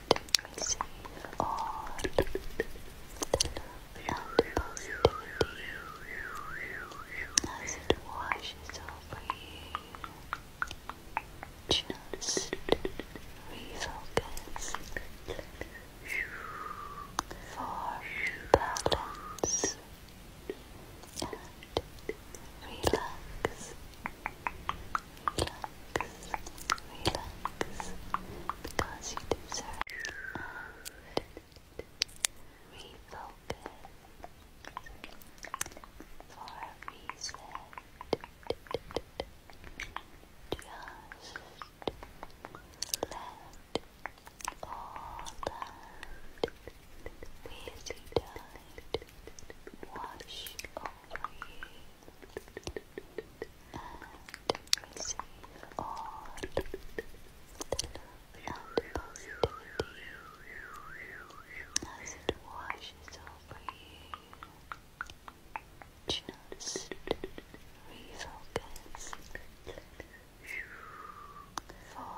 we see all the positivity as it washes over you. Just refocus for balance and relax relax, because you deserve it. Refocus for a reason. Just let all that busy time wash over and receive all the as it washes over you. Just refocus for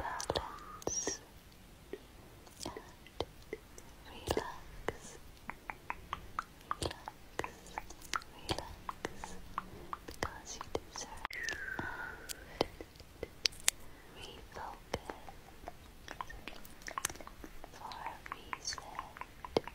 balance and relax relax, because you deserve and refocus for a reason. Just let all that lazy time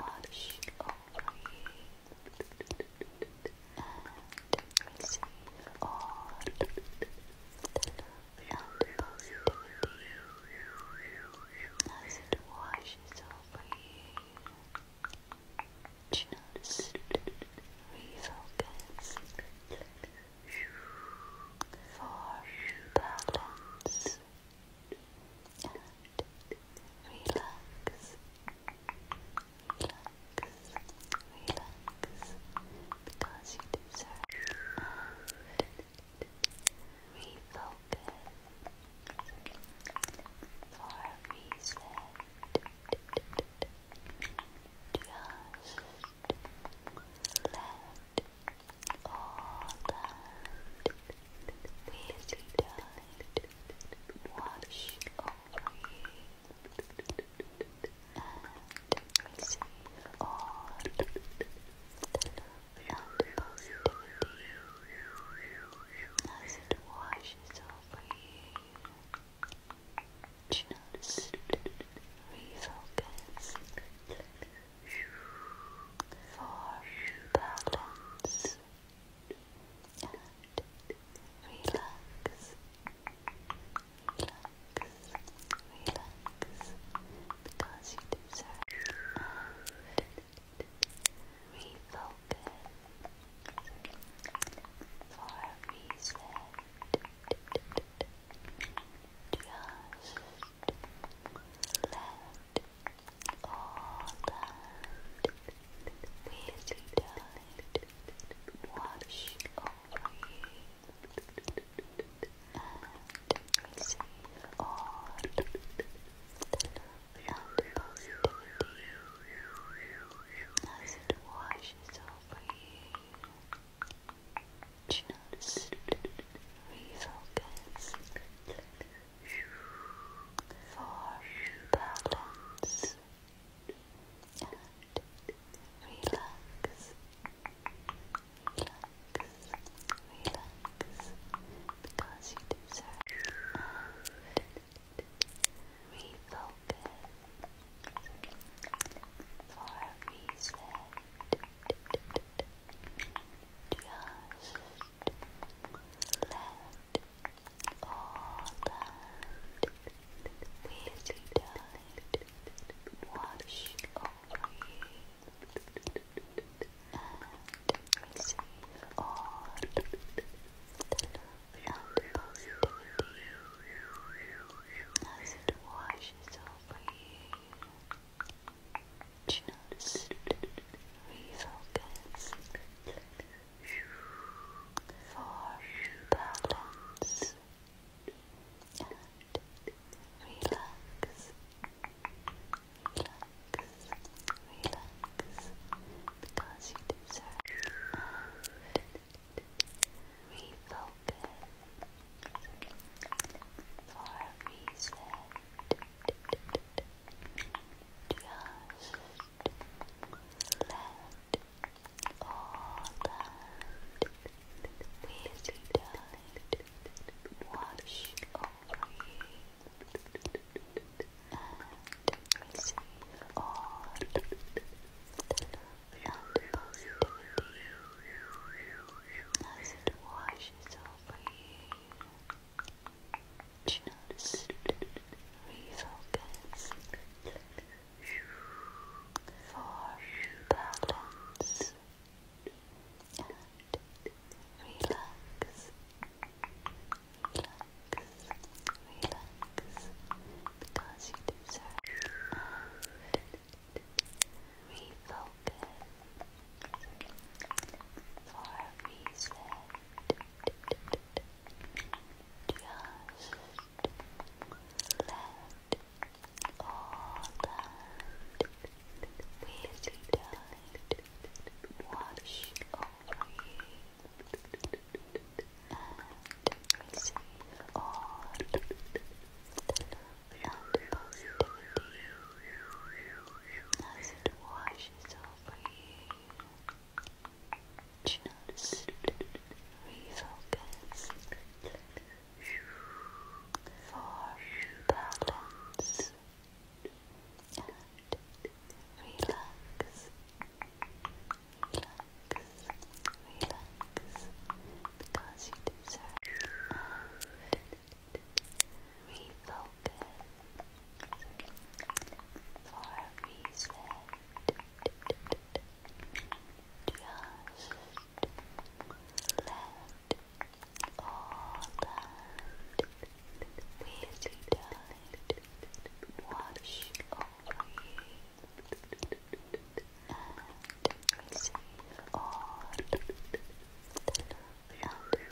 wash over and receive all the love and positivity washes over you. Just refocus for balance relax, relax, relax, because you deserve and refocus for a reason. Just let all that May the tide wash over you and receive all the as it washes over you. Just refocus for balance and relax, relax, relax, because you deserve and refocus for a reason. Just let all that wasted time wash over you and receive all the love and positivity washes over you. Just refocus for balance and relax, relax, relax, because you deserve and refocus for a Just let all that wasted time wash over you and receive all the love and as it washes over you. Do you notice? Refocus. For balance. And relax. Relax. Relax. Because you deserve it. Refocus. For a reset. Just let all that wisdom wash over you and receive all the love and positivity over you. Do Refocus. For balance and relax. Relax, relax, because you deserve it. refocus for a reason. Just let all that busy time wash over you and receive all the as it washes over you. Just refocus for balance and relax. Relax, relax, because you deserve it refocus, for a reset. Just let all that busy wash over and receive all positivity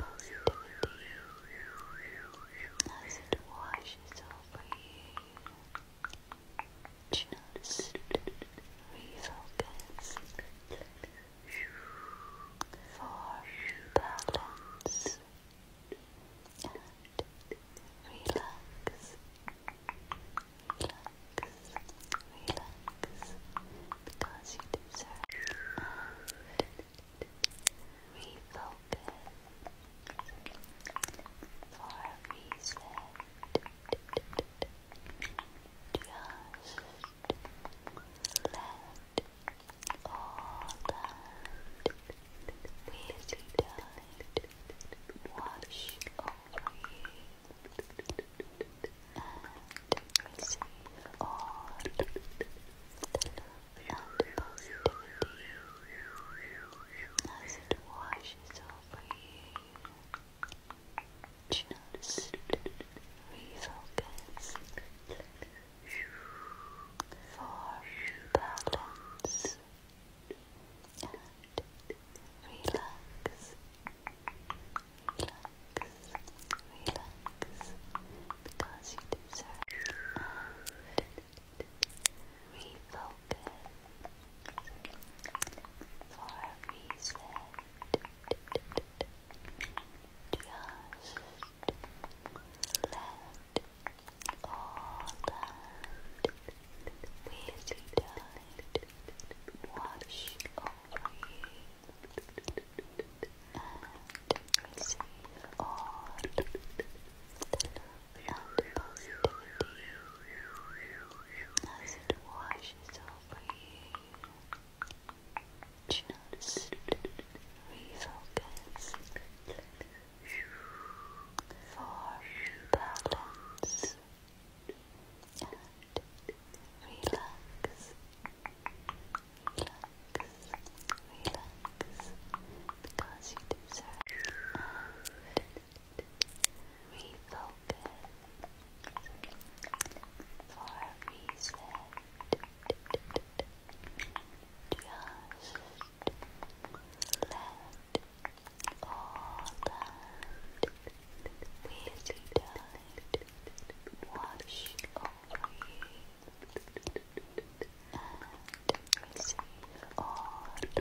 as it washes over you. Just for balance and relax. Relax, relax because you deserve and refocus for a reason. Just let all that busy time wash over you and receive all the love and positivity as it washes Just refocus for balance relax relax, because you refocus for a reason. Just let all that waste time wash over you and the love and as it washes over you. Just refocus for balance relax, relax, because you deserve and refocus for a reason. Just let all that waste time wash over you all the positivity as it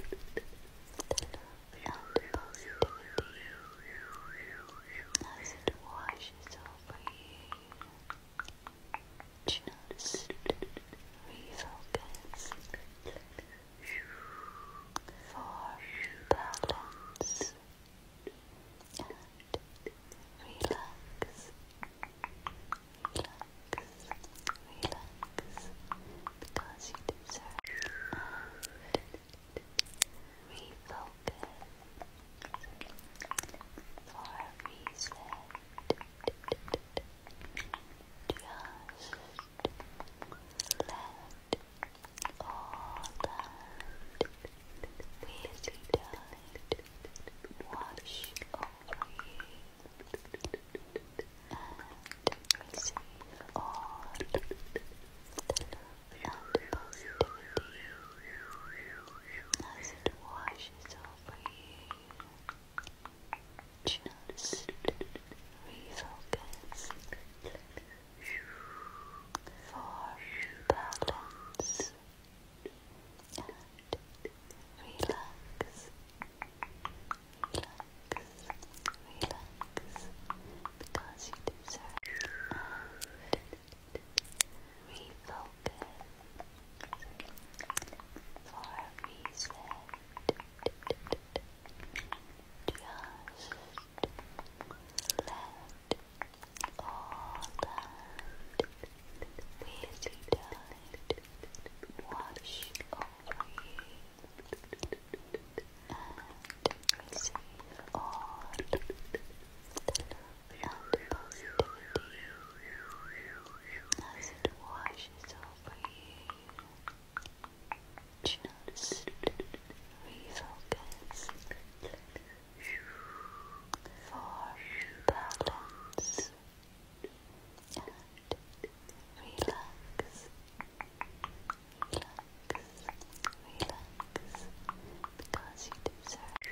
washes over you. Just refocus for balance relax, relax, relax, because you deserve and refocus for a reason. Just let all that wasted time wash over you as it washes over you. Just refocus for balance and relax, relax, relax, because you deserve and refocus for a Just let all that wasted time wash over you all the love and positivity washes over do you notice? Refocus. For balance. And relax. Relax. Relax. Because you deserve it.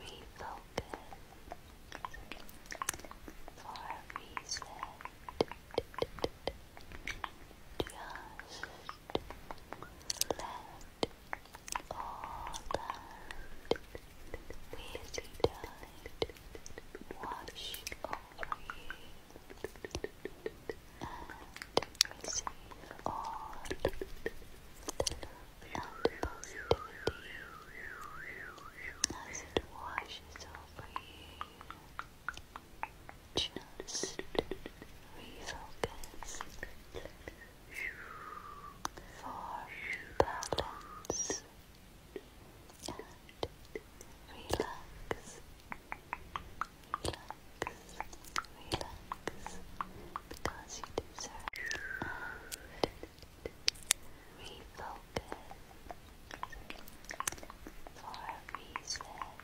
Refocus. For a just let all that waste time wash over and receive all the love and positivity as you. Just refocus for balance and relax, relax, relax, because you deserve and refocus for a reason.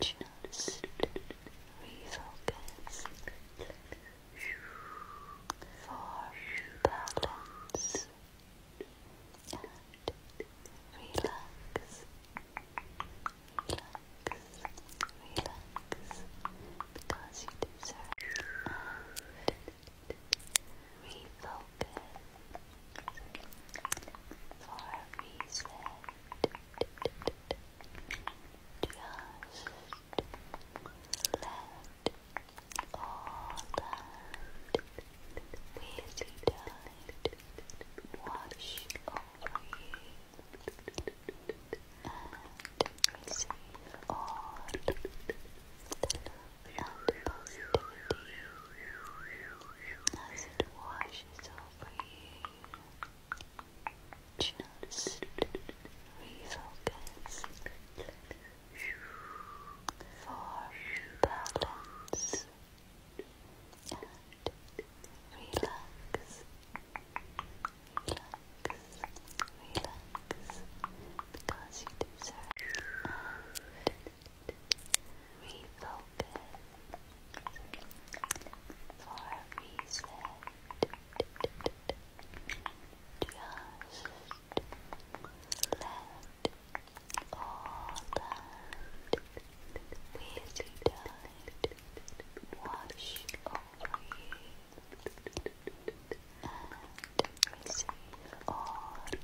Just refocus for balance and relax. Relax, relax, because you deserve it refocus, for reset. Just let all that busy time wash over you and receive all and positivity as over you. Just relax. Relax, relax, because you deserve and refocus, for a reset. Just let all that lazy time wash over see all the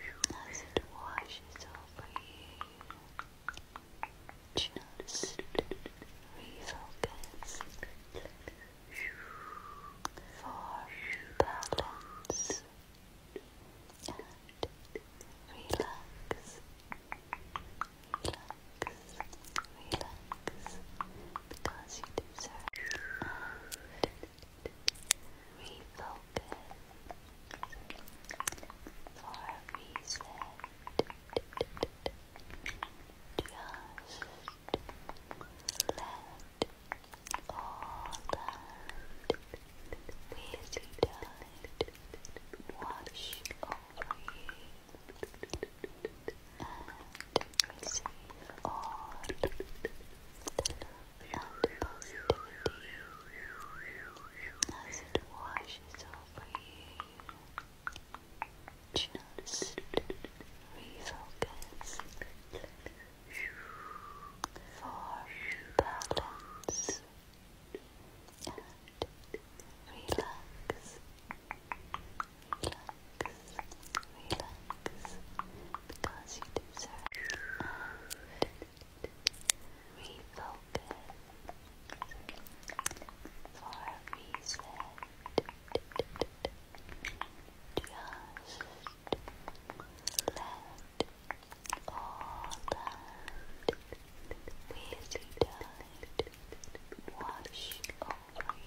it washes over you. Just refocus for balance and Relax relax, because you deserve and refocus for a reason. Just let all that waste time wash over you and receive all the positivity as it washes over you. Just notice it, refocus for balance and relax relax, because you deserve it. refocus for a reason. Just let all that waste time wash over you.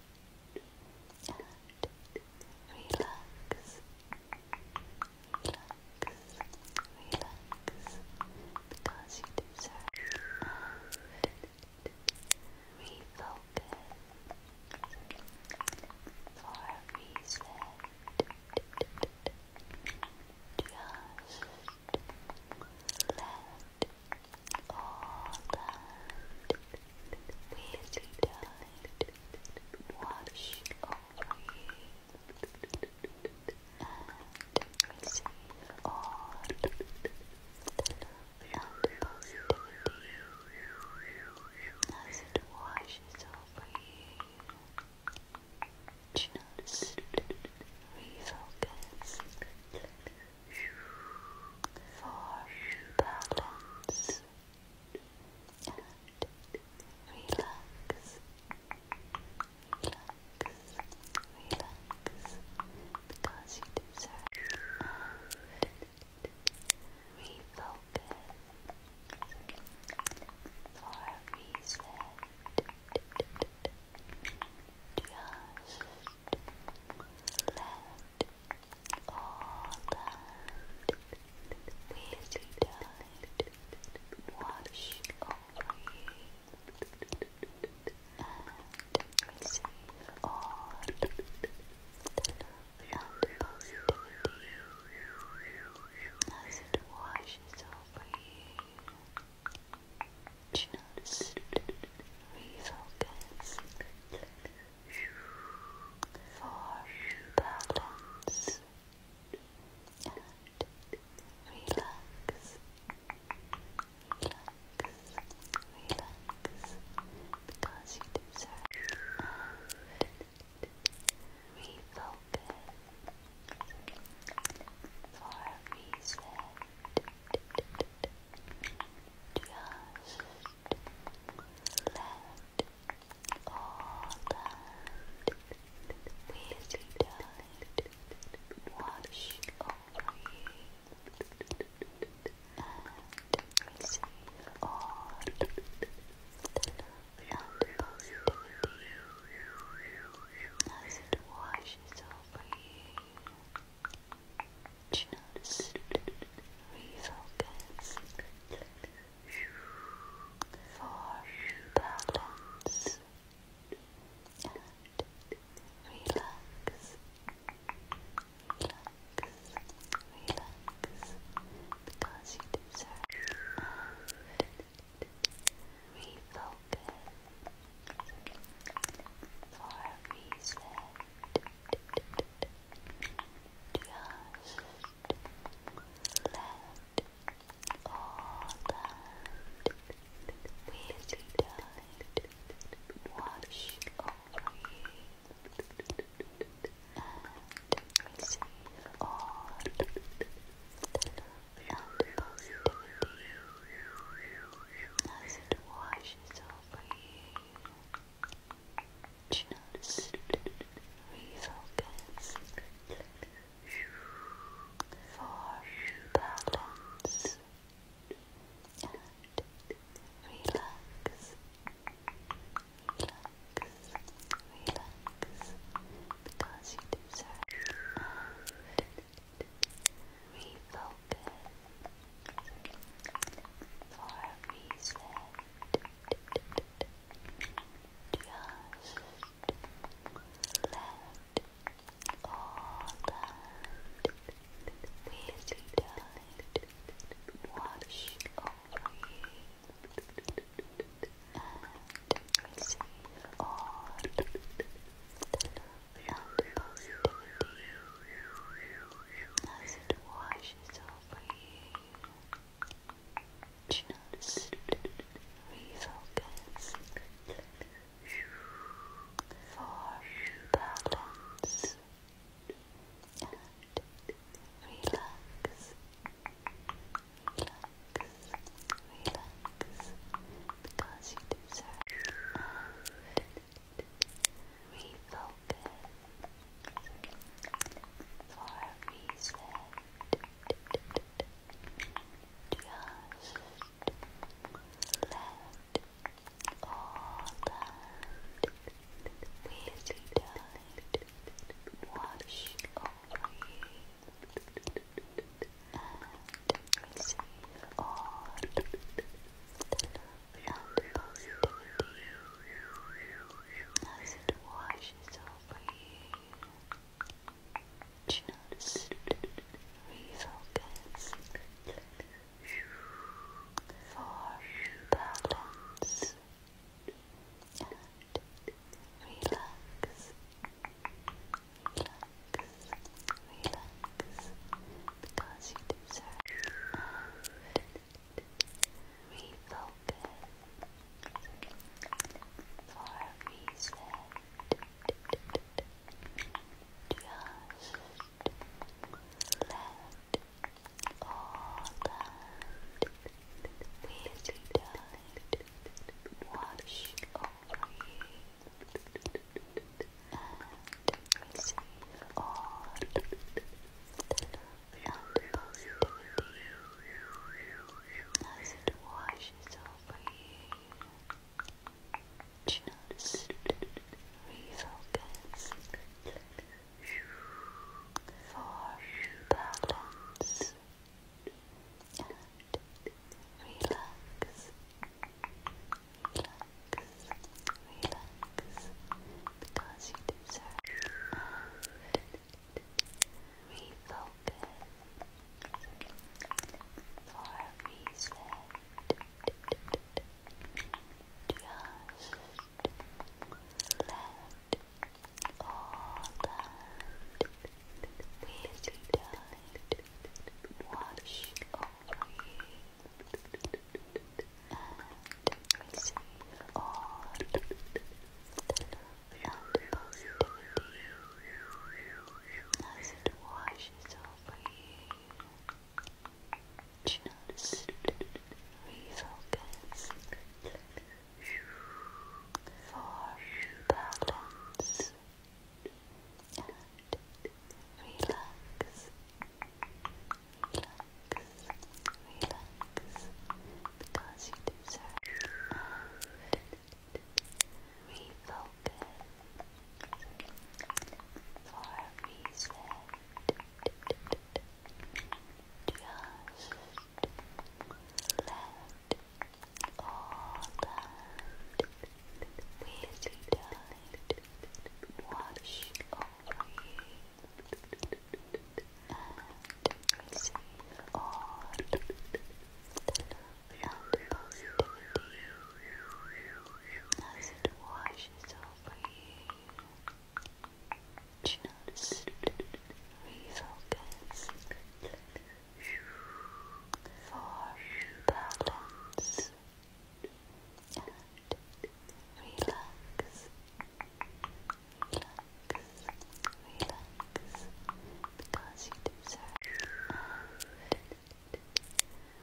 relax, relax, relax, because you deserve and refocus for a reason. Just let all that May the tide wash over you and receive all the love as it washes over you. Just refocus for balance relax, relax, relax, because you deserve it. And for a Just let all that wasted time wash over you and receive all the love and positivity as it washes over you. Just refocus for balance and relax, relax, relax, because you deserve it. And for a just let all that waste time wash over you and receive all the love and positivity as it washes over you just refocus for balance relax, relax, relax, because you deserve and refocus for a just let all that busy time wash over and receive all the love and positivity as it you. Just refocus for balance and relax. Relax, relax, because you deserve it. Refocus for a reason. Just let all that busy time wash over you and receive all the love and as it washes over you. Just refocus for balance and relax. Relax, relax, because you deserve it refocus, for a reset, just let all that lazy time wash over and receive all and positivity as it washes over Just Refocus for balance and relax. Relax, relax, because you deserve and refocus Just let all that busy time wash and receive all the love and as it washes over you. Just refocus for balance and Relax relax, because you deserve and refocus for a reason. Just let all that waste time wash over you receive all the love and positivity as it washes over you. Just refocus for balance relax, relax, because you deserve it. Refocus for a reason. Just let all that with time wash over you and receive all the love and positivity as it washes over you. Just refocus for balance relax, relax, relax, because you deserve it.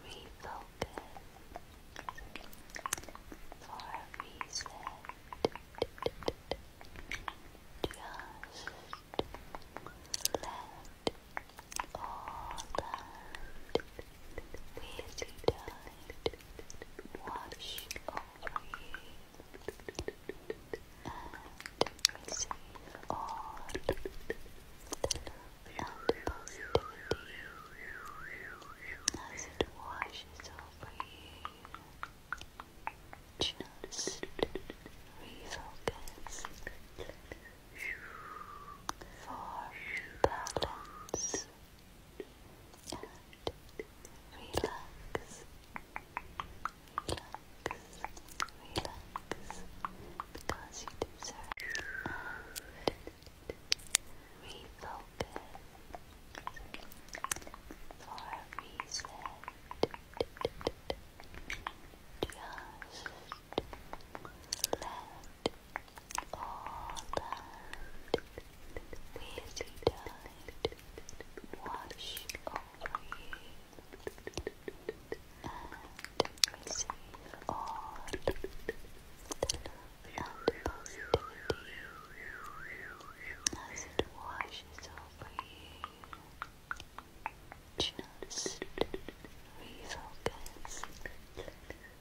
And for reset. Just let all that wasted time wash you and receive all the love and positivity as it washes over you for balance and relax. Relax, relax, because you deserve it. And for a Just let all that busy tide wash over you and receive all the love as it washes over you. Just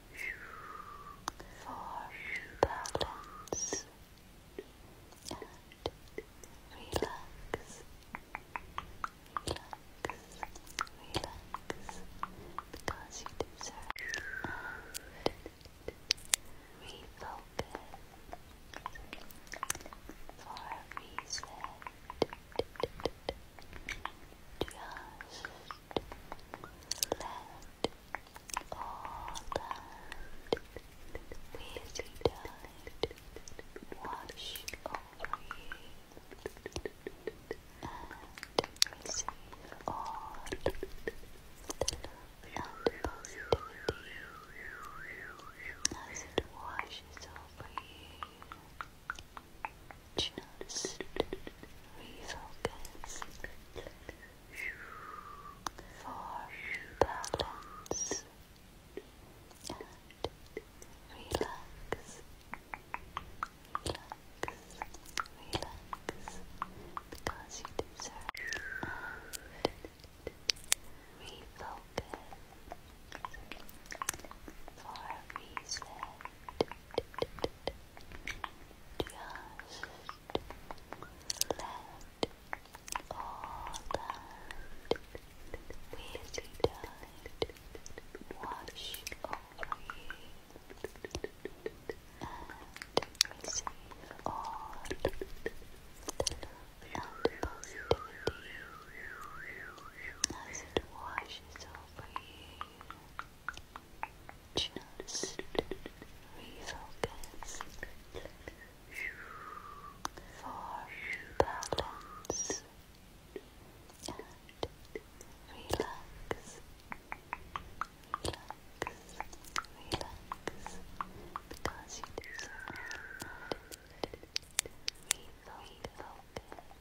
for balance and relax. Relax, relax, because you deserve and refocus for a Just let all that busy tide wash over you and receive all the love and positivity as it washes over you. Do you notice? Refocus. For balance. And relax. Relax. Relax. Because you deserve and refocus. For reset. Just let all that lazy died wash over you and receive all the love and positivity as over you. Just refocus for balance and relax. Relax, relax, because you deserve it. Refocus.